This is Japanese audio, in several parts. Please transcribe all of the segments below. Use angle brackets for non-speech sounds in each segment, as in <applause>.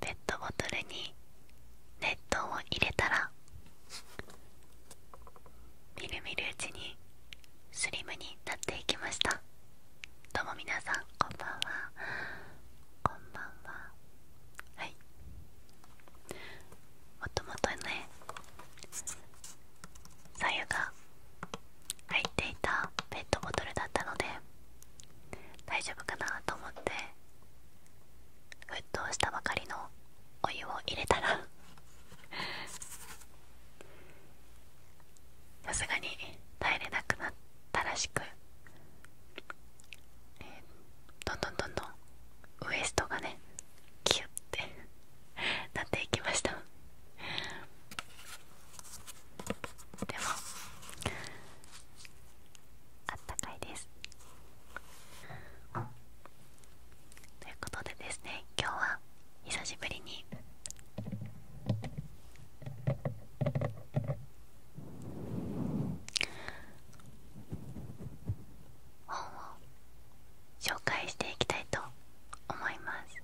ペットボトルに熱湯を入れたらみるみるうちにスリムになっていきましたどうも皆さんこんばんはこんばんははいもともとねさゆが入っていたペットボトルだったので大丈夫かなと思って沸騰したばかりのお湯を入れたら <laughs> さすがに耐えれなくなったらしく、えー、どんどんどんどんウエストがねキュッて <laughs> なっていきましたでもあったかいですということでですね今日は久しぶりに本を紹介していきたいと思います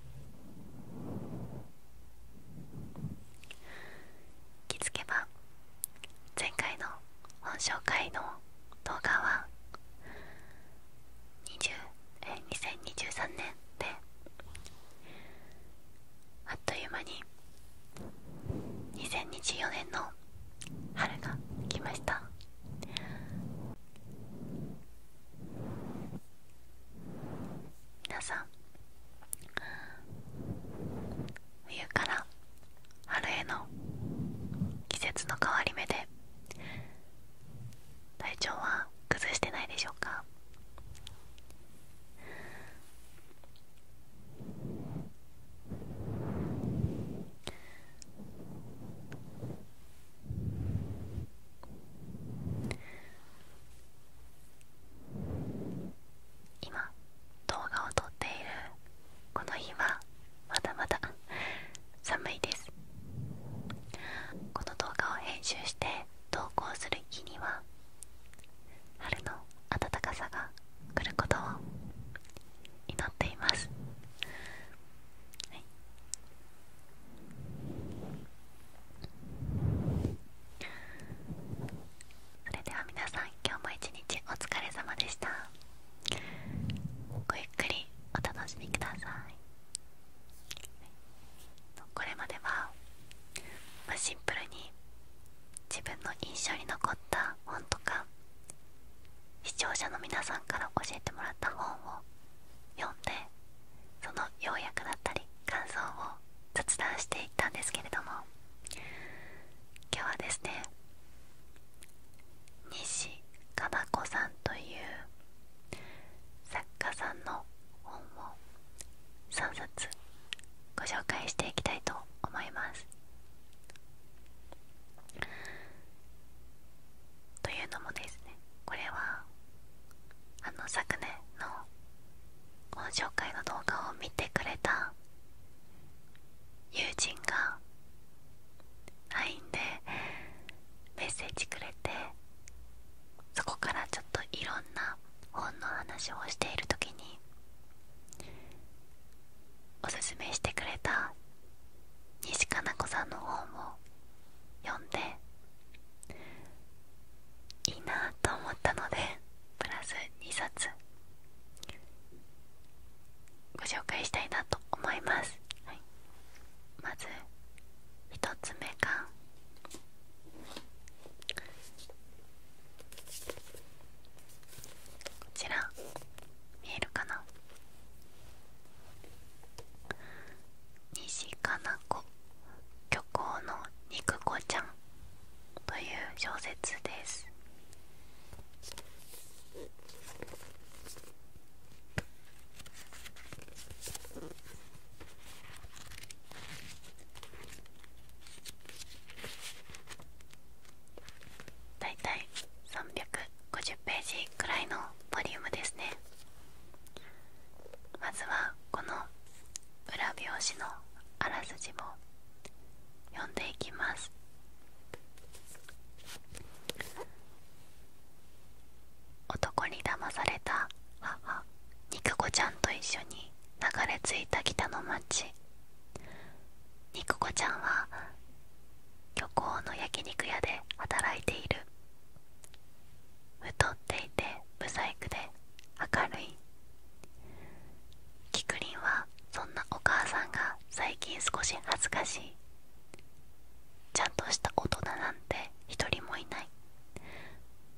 気づけば前回の本紹介の動画は20え2023年であっという間に2024年の春が来ました皆さん冬から春への季節の変わり目で体調は崩してないでしょうか今動画を撮っているこの日はまだまだ寒いですこの動画を編集して投稿する日には春の暖かさが来ることを祈っています、それでは皆さん今日も一日お疲れ様でしたごゆっくりお楽しみくださいこれまでは、シンプルに自分の印象に残った本とか視聴者の皆さんから教えてもらった本を読んでその要約だったり感想を雑談していたんですけれども今日はですね西かな子さんという作家さんの本を3冊ご紹介していきたいと思います。というのもですねこれはあの昨年のこ紹介の動画を見てくれた友人が LINE でメッセージくれてそこからちょっといろんな本の話をしている時におすすめしてくれた西加奈子さんの本を読んでいいなと思ったのでプラス2冊ご紹介したいなと思います、まず1つ目がこちら見えるかな西かな子漁港の肉子ちゃんという小説ですだいたい350ページくらいのボリュームですねまずはこの裏表紙のあらすじも。読んでいきます男に騙された母肉子ちゃんと一緒に流れ着いた北の町肉子ちゃんは漁港の焼肉屋で働いている太っていて不イクで明るいきくりんはそんなお母さんが最近少し恥ずかしいちゃんとした大人なんて一人もいない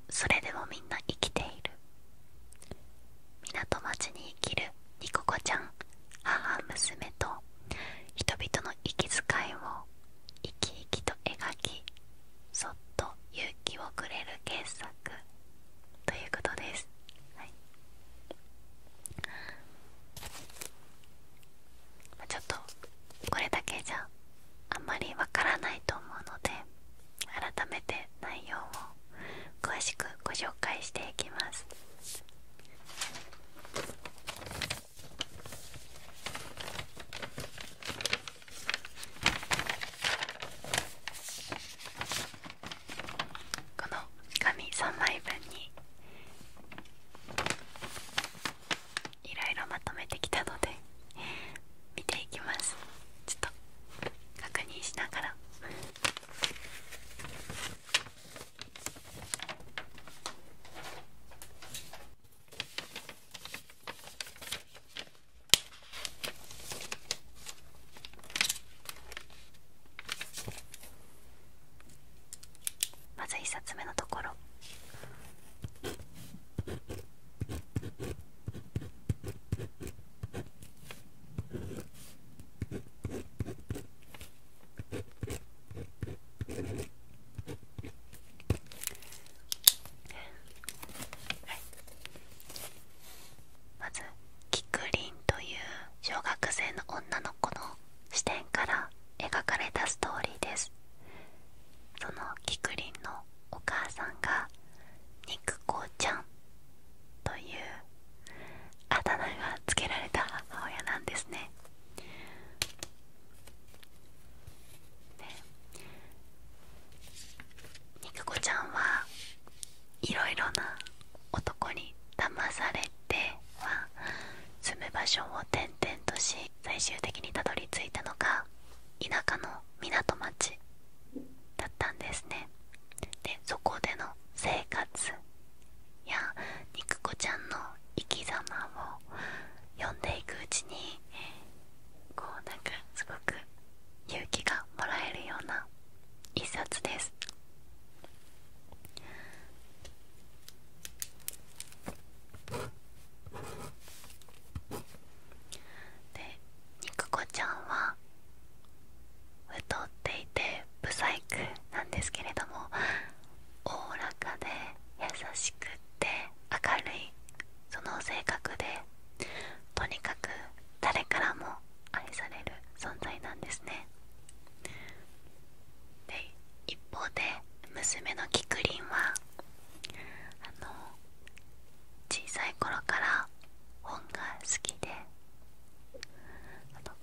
それでもみんな生きている港町に生きるニココちゃん母娘と人々の息遣いを生き生きと描きそっと勇気をくれる傑作ということです、はいちょっとこれだけじゃあんまりわからないと思うので改めて内容を詳しくご紹介していきますこの紙3枚分にいろいろまとめてきたので <laughs> 見ていきますちょっと確認しながら <laughs> まず1冊目のところまず菊林という小学生の女の子の視点から描かれたストーリーですその菊林のお母さんが肉子ちゃんというあだ名が付けられた母親なんですねね肉子ちゃんはいろいろな男に騙されては住む場所を転々とし最終的にたどり着いたのが田舎の港町だったんですねでそこでの生活や肉子ちゃんの生き様を読んでいくうちにこうなんかすごく勇気がもらえるような一冊ですで肉子ちゃんは太っていて不細工なんですけれどもおおらかで優しくって明るいその性格でとにかく誰からも愛される存在なんですねで一方で娘のきくりんはあの小さい頃から本が好きで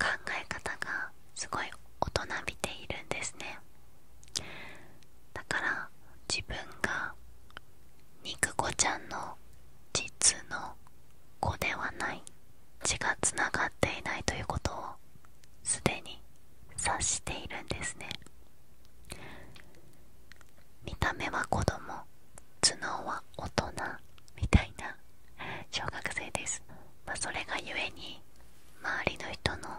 考え方がすごい大人びているんですねだから自分が肉子ちゃんの実の子ではない血がつながっていないということをすでに察しているんですね見た目は子供頭脳は大人みたいな小学生です、まそれがゆえに周りの人の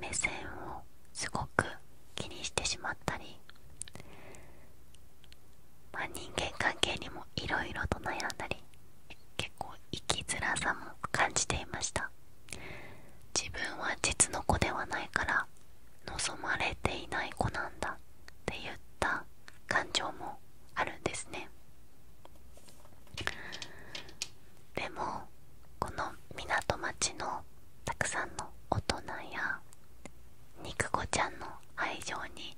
目線をすごく気にしてしまったりまあ、人間関係にもいろいろと悩んだり結構生きづらさも感じていました自分は実の子ではないから望まれていない子なんだって言った感情もあるんですねでもこの港町のたくさんの大人や肉子ちゃんの愛情に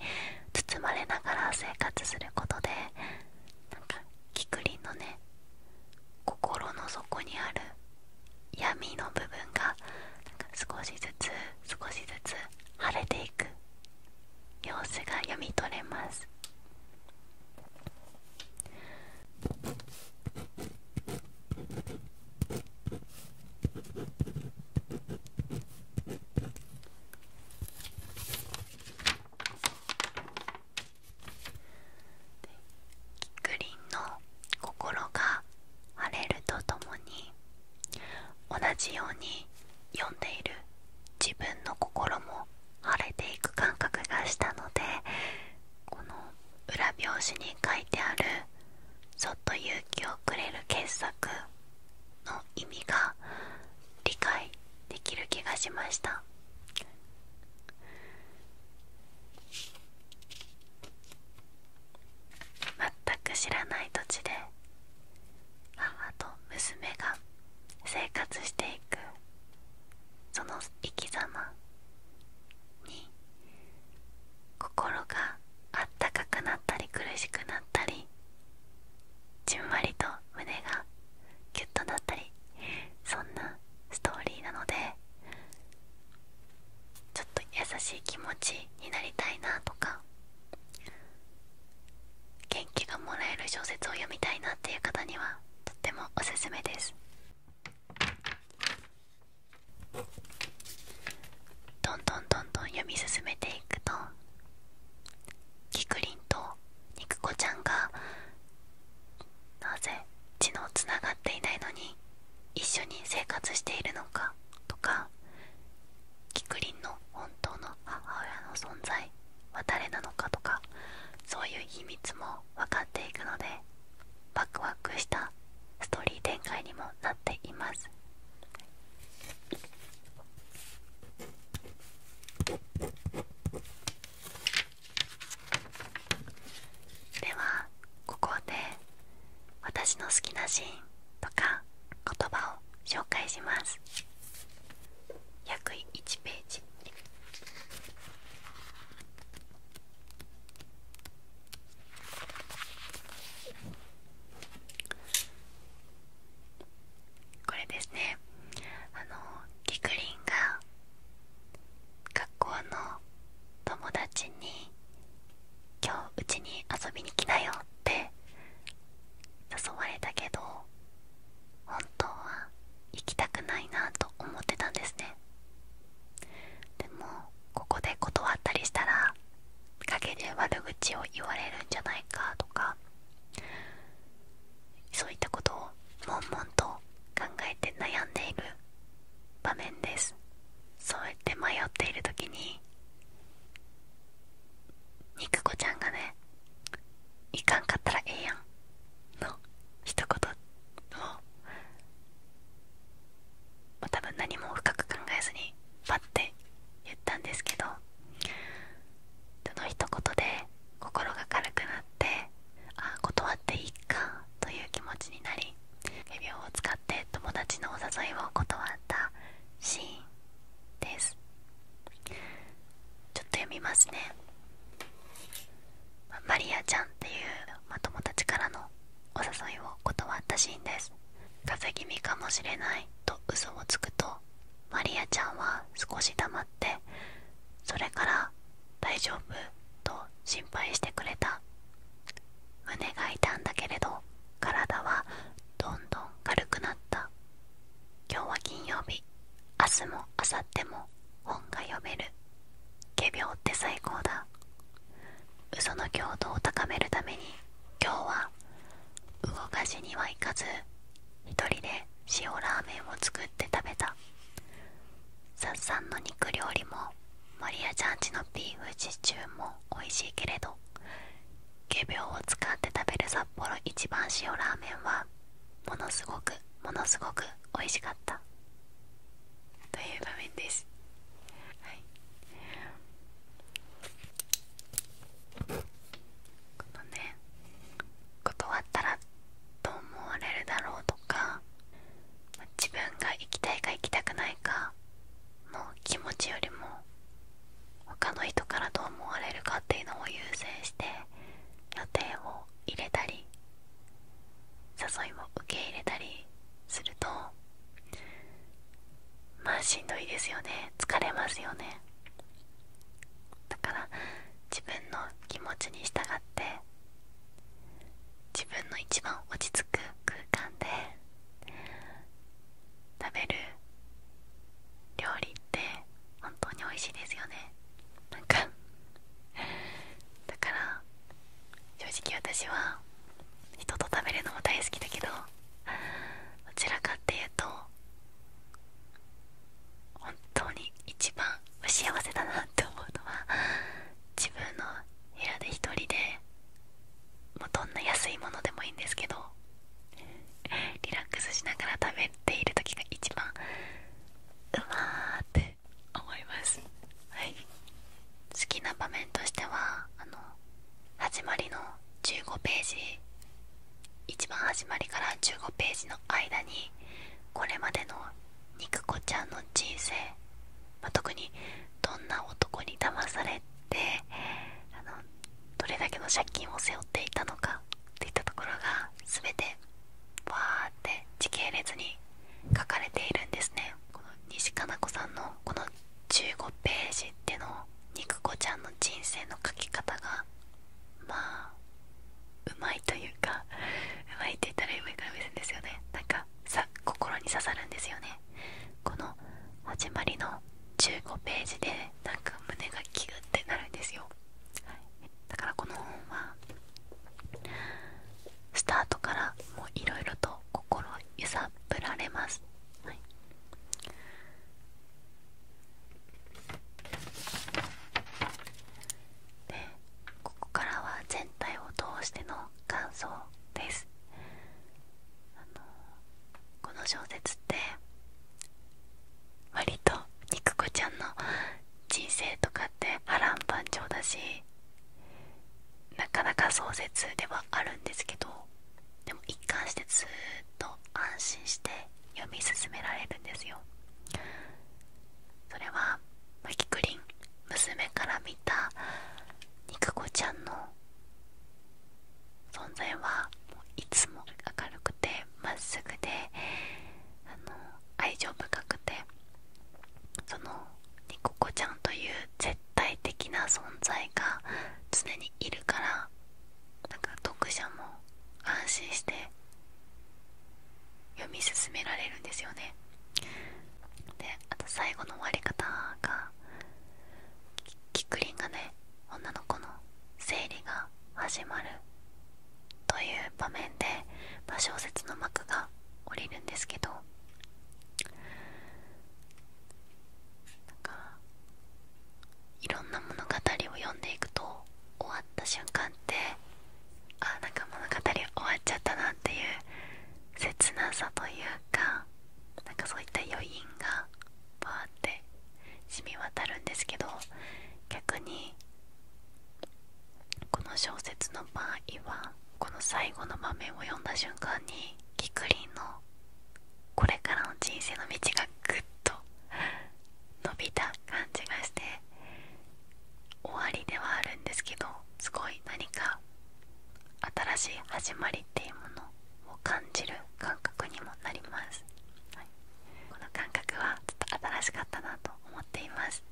包まれながら生活することでなんかキクリンのね心の底にある闇の部分が少しずつ少しずつ晴れていく様子が読み取れますキックンの心が晴れるとともに同じように読んでいる自分の心も晴れていく感覚がしたのでこの裏表紙に書いてある「そっと勇気をくれる傑作」の意味が理解できる気がしました全く知らない土地で母と娘が生活していくその生き様に心があったかくなったり苦しくなったりじんわりと胸がキュッとなったりそんなストーリーなのでちょっと優しい気持ちになりたいなとか元気がもらえる小説を読みたいなっていう方にはとってもおすすめですどんどんどんどん読み進めていくとキクリンと肉子ちゃんがなぜ血のつながっていないのに一緒に生活しているのかとかキクリンの本当の母親の存在は誰なのかとかそういう秘密も分かっていくのでワクワクしたストーリー展開にもなっていますではここで私の好きなシーンとか言葉を紹介します約1ページこれですねあのキくりんが学校の友達に「今日うちに遊びに来なよ」って誘われたけど本当は行きたくないなと思ってたんですねでもここで断ったりしたら陰で悪口を言われるんじゃないかとかそういったことを悶々と考えて悩んでいる場面ですそうやって迷っている時に肉子ちゃんがね「いかんかったらええやん」の一言を多分何も深く考えずに待って言ったんですけどその一言で心が軽くなってあ断っていいかという気持ちになり指輪を使って友達のお誘いを断ったシーンですちょっと読みますねマリアちゃんっていう、ま友達からのお誘いを断ったシーンです風邪気味かもしれないと嘘をつくとマリアちゃんは少し黙ってそれから「大丈夫」と心配してくれた胸が痛んだけれど体はどんどん軽くなった今日は金曜日明日も明後日も本が読める仮病って最高だ嘘の強度を高めるために今日は動かずにはいかず1人で塩ラーメンを作って食べたさっさんの肉料理もマリアちゃんちのビーフシチューも美味しいけれど仮病を使って食べる札幌一番塩ラーメンはものすごくものすごく美味しかったという場面です、はい、ね断ったらと思われるだろうとか自分が行きたいか行きたくないかの気持ちよりも他の人からどう思われるかっていうのを優先して予定を入れたり誘いを受け入れたりするとまあしんどいですよね疲れますよねだから自分の気持ちに従って自分の一番落ち着く空間で食べる料理って本当に美味しいですよねなんかだから正直私は人と食べるのも大好きだけどどちらかっていうと本当に一番幸せだなって思うのは自分の部屋で1人でもうどんな安いものでもいいんですけどリラックスしながら食べている時が一番うわーって思います、はい、好きな場面としてはあの始まりの15ページ一番始まりから15ページの間にこれまでの肉子ちゃんの人生、ま特にどんな男に騙されてあのどれだけの借金を背負っていたのかといったところが全てわーって時系列に書かれているんですねこの西加奈子さんのこの15ページっての肉子ちゃんの人生の書き方がまあうまいというかうまいって言ったら上から目線ですよねなんかさ心に刺さるんですよねこの始まりの15ページでなんか胸がキュッてなるんですよ、だからこの本はスタートからもういろいろと心を揺さぶられます、はい、でここからは全体を通しての感想ですこの小説って割と肉子ちゃんの人生とかって波乱万丈だしなかなか壮絶ではあるんですけどでも一貫してずっと安心して読み進められるんですよそれはマキくりん娘から見た肉子ちゃんの存在はいつも明るくてまっすぐであの愛情深くてその肉こちゃんという絶対的な存在が常にいるからなんか読者も安心して読み進められるんですよねであと最後の終わり方がキクリンがね女の子の生理が始まるという場面で、ま小説の幕が下りるんですけどなんかいろんな物語を読んでいくと終わった瞬間ってあなんか物語終わっちゃったなっていう切なさというかなんかそういった余韻がバーって染み渡るんですけど逆にこの小説の場合はこの最後の場面を読んだ瞬間にキクリンのこれからの人生の道がぐっと伸びた感じがして終わりではあるんですけどすごい何か新しい始まりっていうものを感じる感覚にもなります、この感覚はちょっと新しかったなと思っています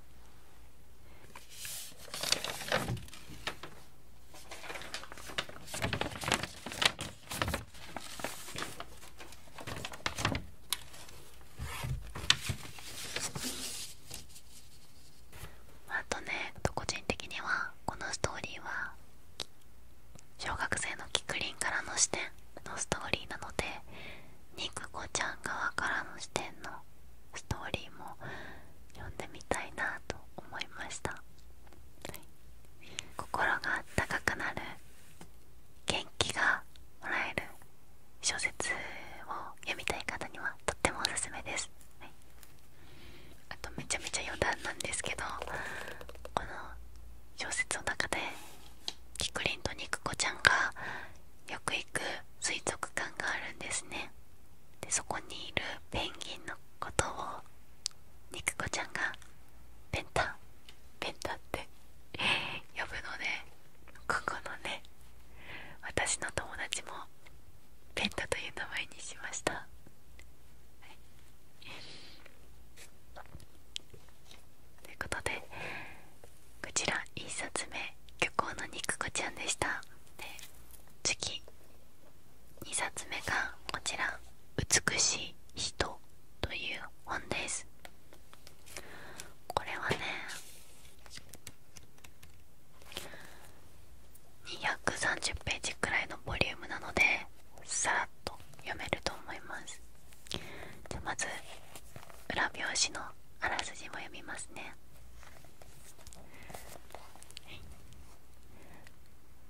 あとね個人的にはこのストーリーは小学生のキクリンからの視点のストーリーなので肉子ちゃん側からの視点のストーリーも読んでみたいなと思いました、心が温くなる気がもらえる小説を読みたい方にはとってもおすすめです、あとめちゃめちゃ余談なんですけどこの小説の中でキクリンと肉子ちゃんがよく行く水族館があるんですねでそこにいるペンギンのことを肉子ちゃんがペンタペンタって呼ぶのでここのね私の友達もペンタという名前にしました、ということでこちら1冊目漁港の肉子ちゃんでしたで次2冊目がこちら美しい人という本ですこれはね230ページくらいのボリュームなのでさっと読めると思いますじゃまず裏表紙のあらすじも読みますね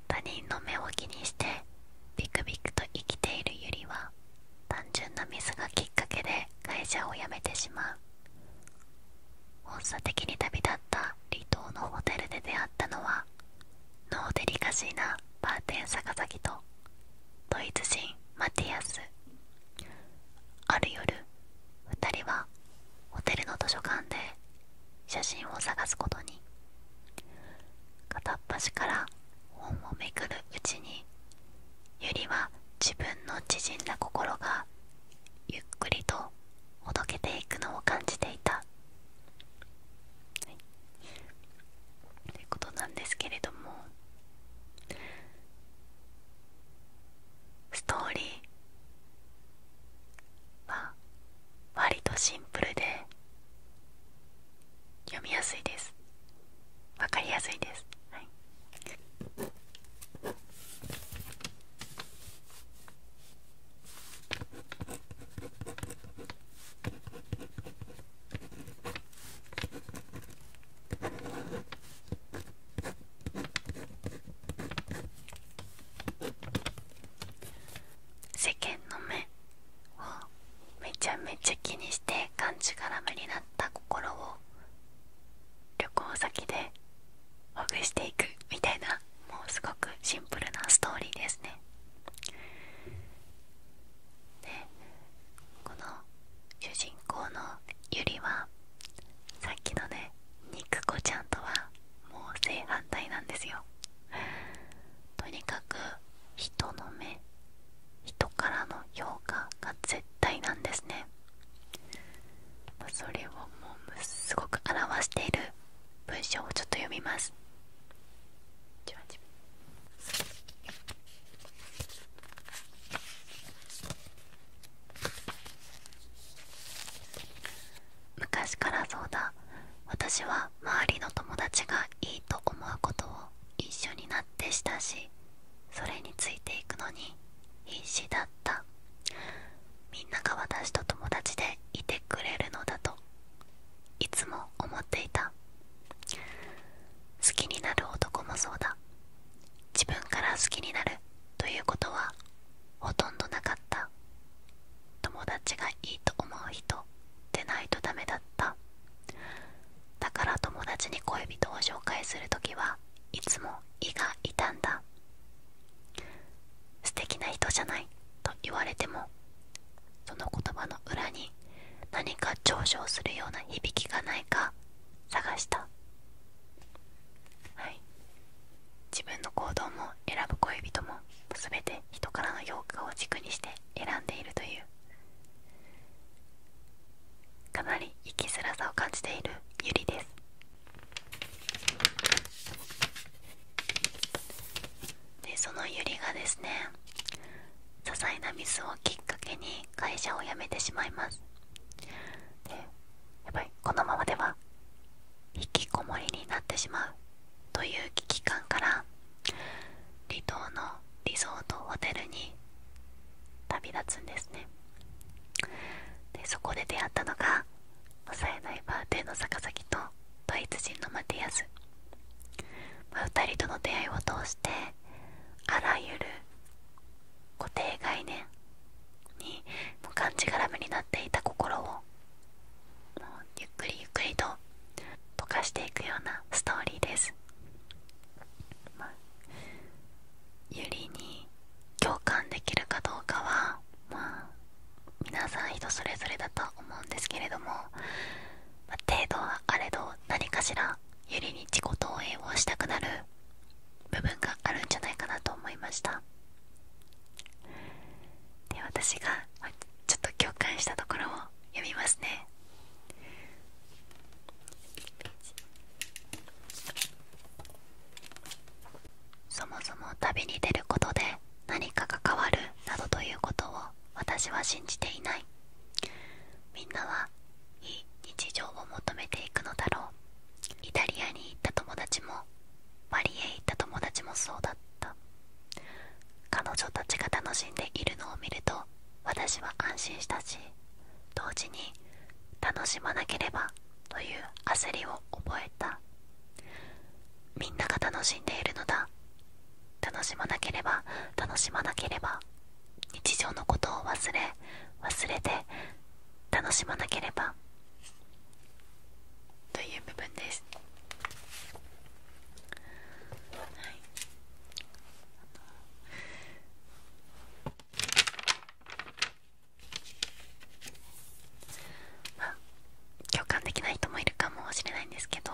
他人の目を気にしてビクビクと生きているゆりは単純なミスがきっかけで会社を辞めてしまう本社的に旅立った離島のホテルで出会ったのはノーデリカシーなバーテン坂崎とドイツ人マティアスある夜2人はホテルの図書館で写真を探すことに片っ端から本をめくるうちにゆりは自分の縮んだ心がゆっくりとほどけていくのを感じていた、ということなんですけれどもストーリーは割とシンプルで読みやすいですわかりやすいです、はい、世間の目をめちゃめちゃ気にしてがんじがらめになった心を旅行先でほぐしていくみたいなもうすごくシンプルなストーリーですね。でこの主人公のゆりはさっきのね肉子ちゃんとはもう正反対なんですよ。とにかく人の目人からの評価が絶対なんですねそれをもうすごく表している文章をちょっと読みます昔からそうだ私は周りの友達がいいと思うことを一緒になってしたしそれについていくのに必死だったみんなが私と友達でいてくれるのだといつも思っていた好きになる男もそうだ自分から好きになるということはほとんどなかった友達がいいと思う人でないとダメだっただから友達に恋人を紹介する時はいつも胃が痛んだ素敵な人じゃないと言われてもその言葉の裏に何か嘲笑するような響きがないか探したはい自分の行動も選ぶ恋人も全て人からの評価を軸にして選んでいるというかなり生きづらさを感じているゆりですでそのゆりがですね些細なミスをきっかけに会社を辞めてしまいますでやっぱりこのままでは引きこもりになってしまうという危機感から離島のなリゾートホテルに旅立つんですねでそこで出会ったのが抑えないバーテンの坂崎とドイツ人のマティアス、ま2人との出会いを通してあらゆる固定概念にもうがんじがらめになっていた心をもうゆっくりゆっくりと溶かしていくようなストーリーです、ゆりに共感できるかどうかはまあ皆さん人それぞれだと思うんですけれども、ま程度はあれど何かしらゆりに自己投影をしたくなる部分があるんじゃないかなと思いましたで私がちょっと共感したところを読みますねそもそも旅に出ることで何かが変わるなどということを私は信じていないみんなはいい。日常を求めていくのだろうイタリアに行った友達もマリへ行った友達もそうだった彼女たちが楽しんでいるのを見ると私は安心したし同時に楽しまなければという焦りを覚えたみんなが楽しんでいるのだ楽しまなければ楽しまなければ日常のことを忘れ忘れて楽しまなければという部分です、はい、共感できない人もいるかもしれないんですけど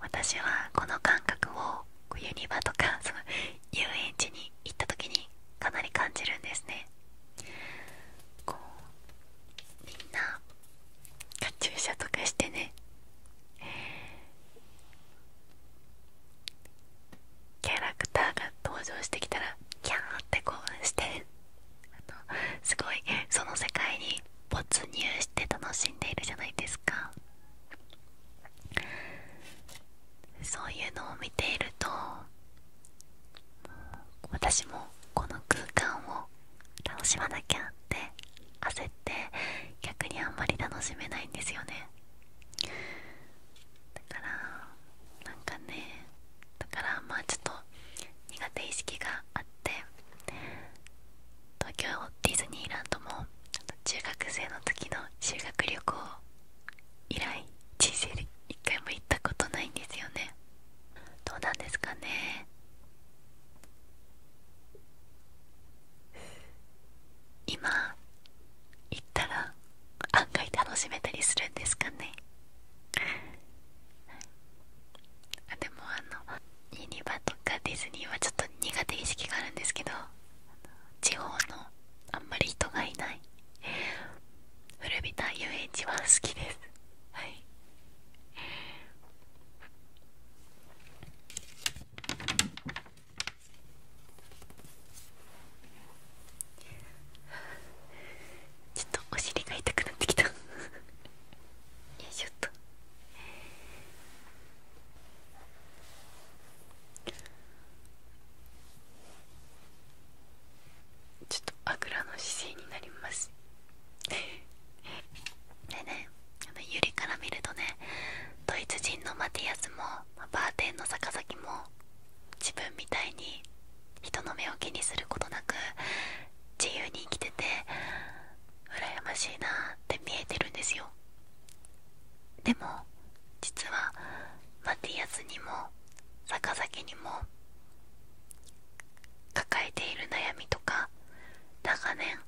私はこの感覚をユニバとか <laughs> その遊園地に行った時にかなり感じるんですねこうみんなカチューシャとかしてねキャラクターが登場してきたらキャーって興奮してすごいその世界に没入して楽しんでいるじゃないですかそういうのを見ていると私もこの空間を楽しまなきゃって焦って逆にあんまり楽しめないんですよねだからなんかねだからまあちょっと苦手意識があって東京ディズニーランドも中学生の時の修学旅行以来人生で一回も行ったことないんですよねどうなんですかね今行ったら案外楽しめたりするんですかねあでもあのユニバとかディズニーはちょっと苦手意識があるんですけど地方のあんまり人がいない古びた遊園地は好きですはいちょっとお尻が痛くなってきたよいしょっとちょっとあぐらの姿勢になりますでねあのゆりから見るとねドイツ人のマティアスもバーテンの坂崎も自分みたいに人の目を気にすることなく自由に生きてて羨ましいなって見えてるんですよでも実はマティアスにも坂崎にも抱えている悩みとか長年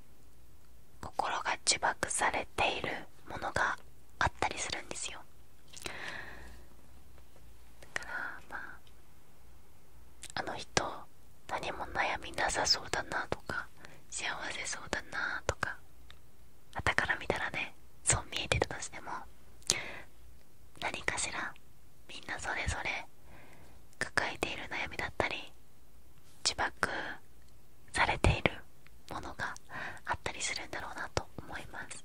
心が呪縛されているものがあったりするんですよだからまああの人何も悩みなさそうだなとか幸せそうだなとかあたから見たらねそう見えてたとしても何かしらみんなそれぞれ抱えている悩みだったり自爆されているものがあったりするんだろうなと思います、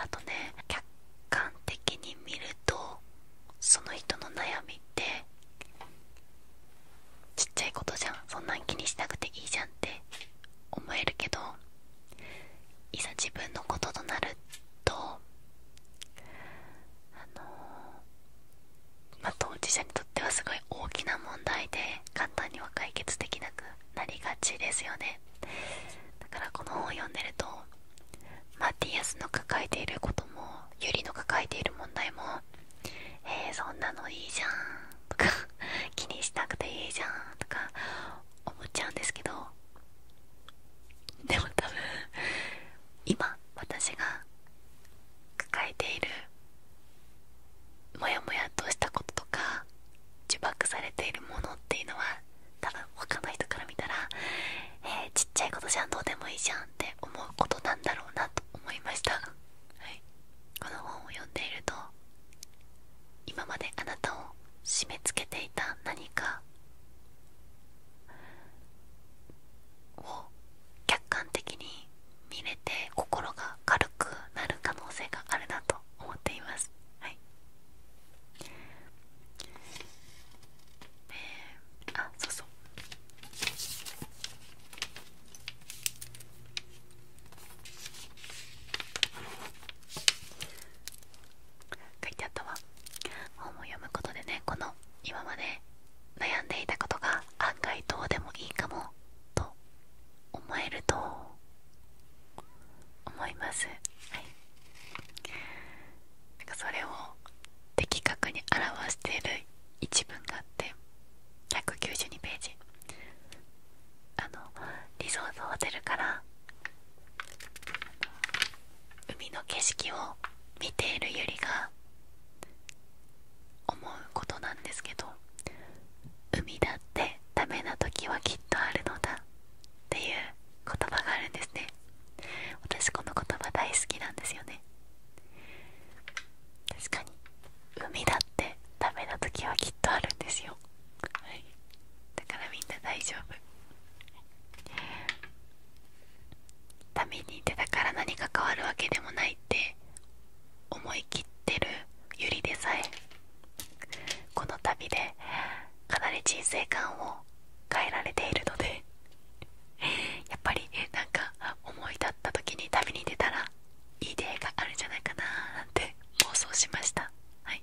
あとね客観的に見るとその人の悩みってちっちゃいことじゃんそんなん気にしなくていいじゃんって思えるけどいざ自分のこととなるとあのま当事者にとってはすごい大きな問題で簡単には解決できなくなりがちですよねだからこの本を読んでるとマティアスの抱えていることもユリの抱えている問題も「えそんなのいいじゃん」とか「気にしなくていいじゃん」とか思っちゃうんですけどでも多分今私が抱えているモヤモヤとしたこととか呪縛されているものっていうのは多分他の人から見たら、えー、ちっちゃいことじゃんどうでもいいじゃんって思うことなんだろうなと思いました、はい、この本を読んでいると今まであなたを締め付けていた何かを客観的に見れて心が軽くなる可能性があるなと思っています、はいえあそうそう書いてあったわ本を読むことでねこの今まで悩んでいたことが案外どうでもいいかもと思えると思いますはいなんかそれを的確に表している一文があって192ページあのリゾートホテルから海の景色を見ているゆりが思うことなんですけど海だってダメな時はきっとあるのだっていう言葉があるんですね私この言葉大好きなんですよね確かに海だってダメな時はきっとあるんですよ、はい、だからみんな大丈夫ために出たから何か変わるわけでもないって思い切ってるゆりでさえこの旅でかなり人生観を変えられているのでやっぱりなんか思い立った時に旅に出たらいい出会いがあるんじゃないかななんて妄想しましたはい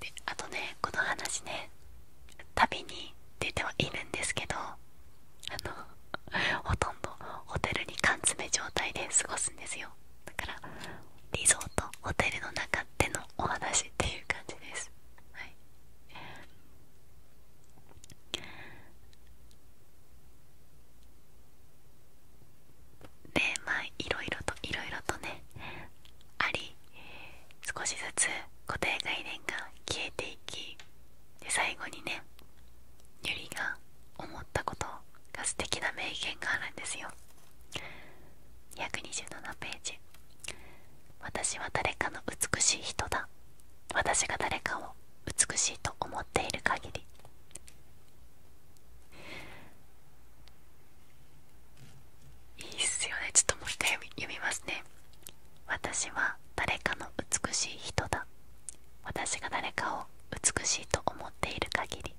であとねこの話ね旅に出てはいるんですけどあのほとんどホテルに缶詰状態で過ごすんですよだからリゾートホテルの中でのお話っていう感じですはいでまあいろいろといろいろとねあり少しずつ固定概念が消えていきで最後にねゆりが思ったことが素敵な名言があるんですよ127ページ「私は誰かの美しい人だ私が誰かを美しいと思っている限りいいっすよねちょっともう一回読みますね私は誰かの美しい人だ私が誰かを美しいと思っている限り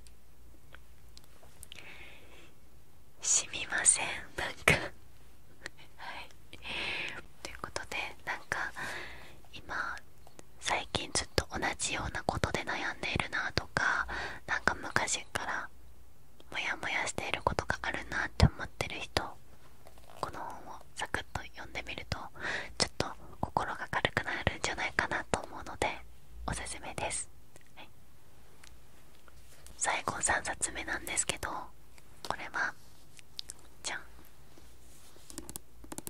しみませんなんかということでなんか今最近ずっと。同じようなことで悩んでいるなとか何か昔からモヤモヤしていることがあるなって思ってる人この本をサクッと読んでみるとちょっと心が軽くなるんじゃないかなと思うのでおすすめです、はい、最後3冊目なんですけどこれはじゃん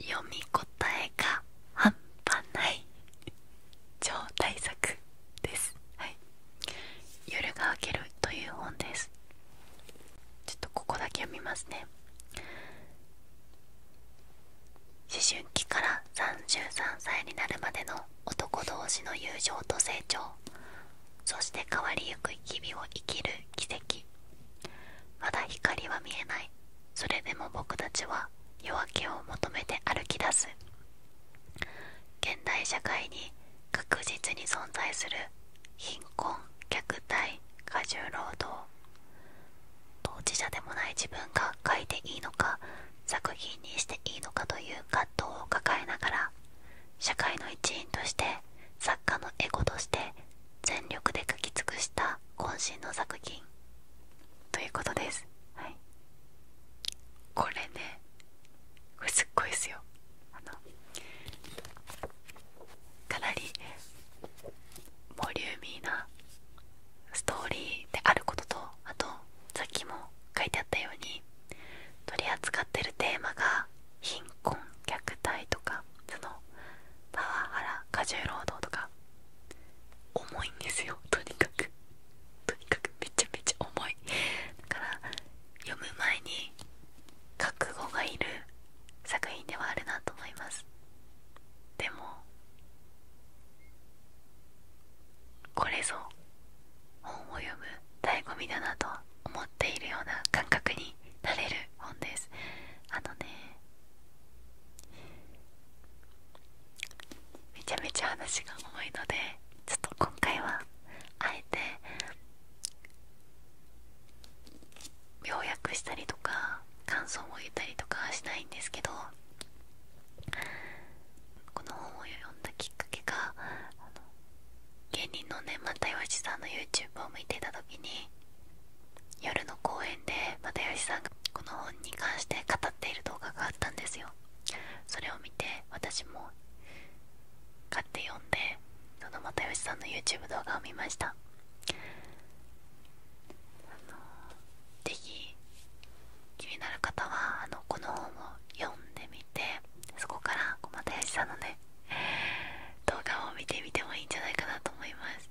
読み応えが半端ない超大作です、はい、夜が明けるという本ですちょっとここだけ読みますね思春期から33歳になるまでの男同士の友情と成長そして変わりゆく日々を生きる奇跡まだ光は見えないそれでも僕たちは夜明けを求めて歩き出す現代社会に確実に存在する貧困虐待過重労働当事者でもない自分が書いていいのか作品にしていいのかという葛藤を抱えながら社会の一員として作家のエゴとして全力で書き尽くした渾身の作品ということです、これねこれすっごいですよあのかなりボリューミーなストーリーであることとあとさっきも書いてあったように取り扱ってるテーマが貧困虐待とかそのパワハラ過重労働とか重いんですよ <laughs> とにかくとにかくめちゃめちゃ重いだから読む前に覚悟がいる作品ではあるなと思いますでもこれぞ本を読む醍醐味だなと思っているような感覚になれる本ですあのねめちゃめちゃ話が重いのでちょっと今回はあえて要約したりとか感想を言ったりとかはしないんですけどこの本を読んだきっかけが芸人のね万太陽一さんの YouTube を見ていた時に夜の公演で又吉さんがこの本に関して語っている動画があったんですよそれを見て私も買って読んでその又吉さんの YouTube 動画を見ました是非気になる方はあのこの本を読んでみてそこから又吉さんのね動画を見てみてもいいんじゃないかなと思います、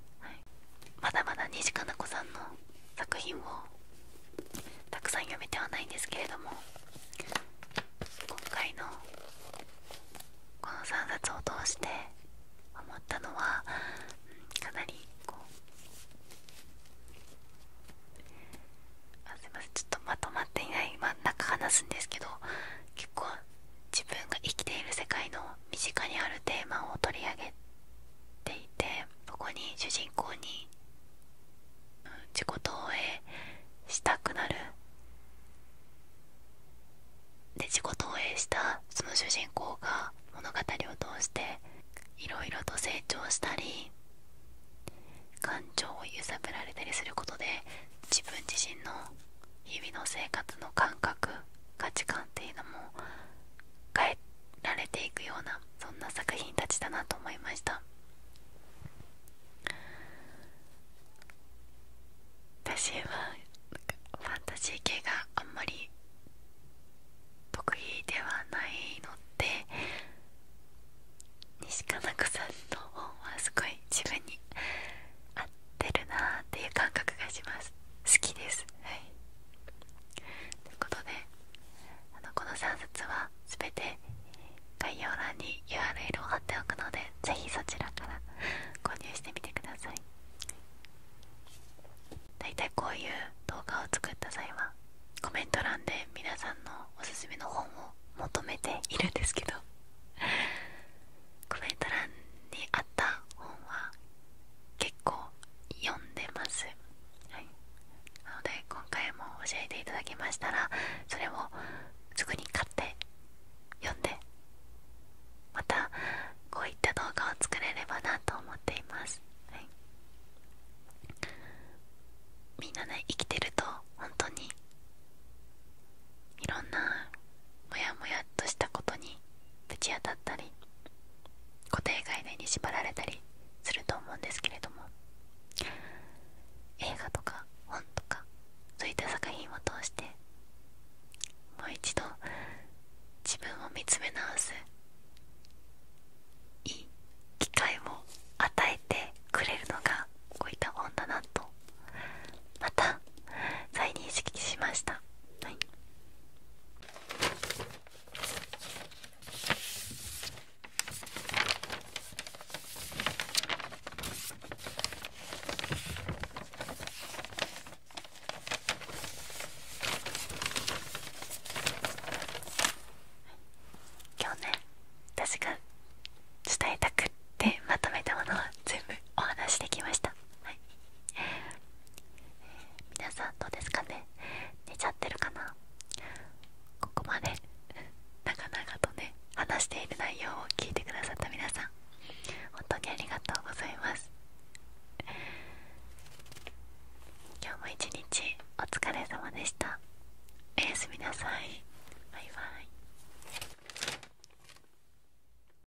まだまだ西加奈子さんの作品をたくさん読めてはないんですけれども今回のこの3冊を通して思ったのは、かなりこうあすいませんちょっとまとまっていない真ん中話すんですけど結構自分が生きている世界の身近にあるテーマを取り上げていてそこに主人公に自己投影したくなるで自己投影したその主人公が物語を通していろいろと成長したり感情を揺さぶられたりすることで自分自身の日々の生活の感覚価値観っていうのも変えられていくようなそんな作品たちだなと思いました私はファンタジー系があんまり得意ではないので西加奈子さんの本はすごい自分に合ってるなーっていう感覚がします好きですはいということであのこの3冊は全て概要欄に URL を貼っておくので是非そちらから購入してみてください大体こういう動画を作った際はコメント欄で皆さんのおすすめの本を求めているんですけどコメント欄にあった本は結構読んでます、はい、なので今回も教えていただきましたらそれをすぐに買って読んでまたこういった動画を作れればなと思っています、はい、みんなね生きてると本当にいろんなモヤモヤっとしたことにぶち当たったり固定概念に縛られたりすると思うんですけれども映画とか本とかそういった作品を通してもう一度自分を見つめ直すいい機会を与えてくれるのがこういった本だなとまた再認識しましたはい今日ね私が伝えたくってまとめたものは全部お話しできました、はい、皆さんどうですかね寝ちゃってるかなここまで <laughs> 長々とね話している内容を聞いてくださった皆さん本当にありがとうございます今日も一日お疲れ様でしたおやすみなさいバイバイ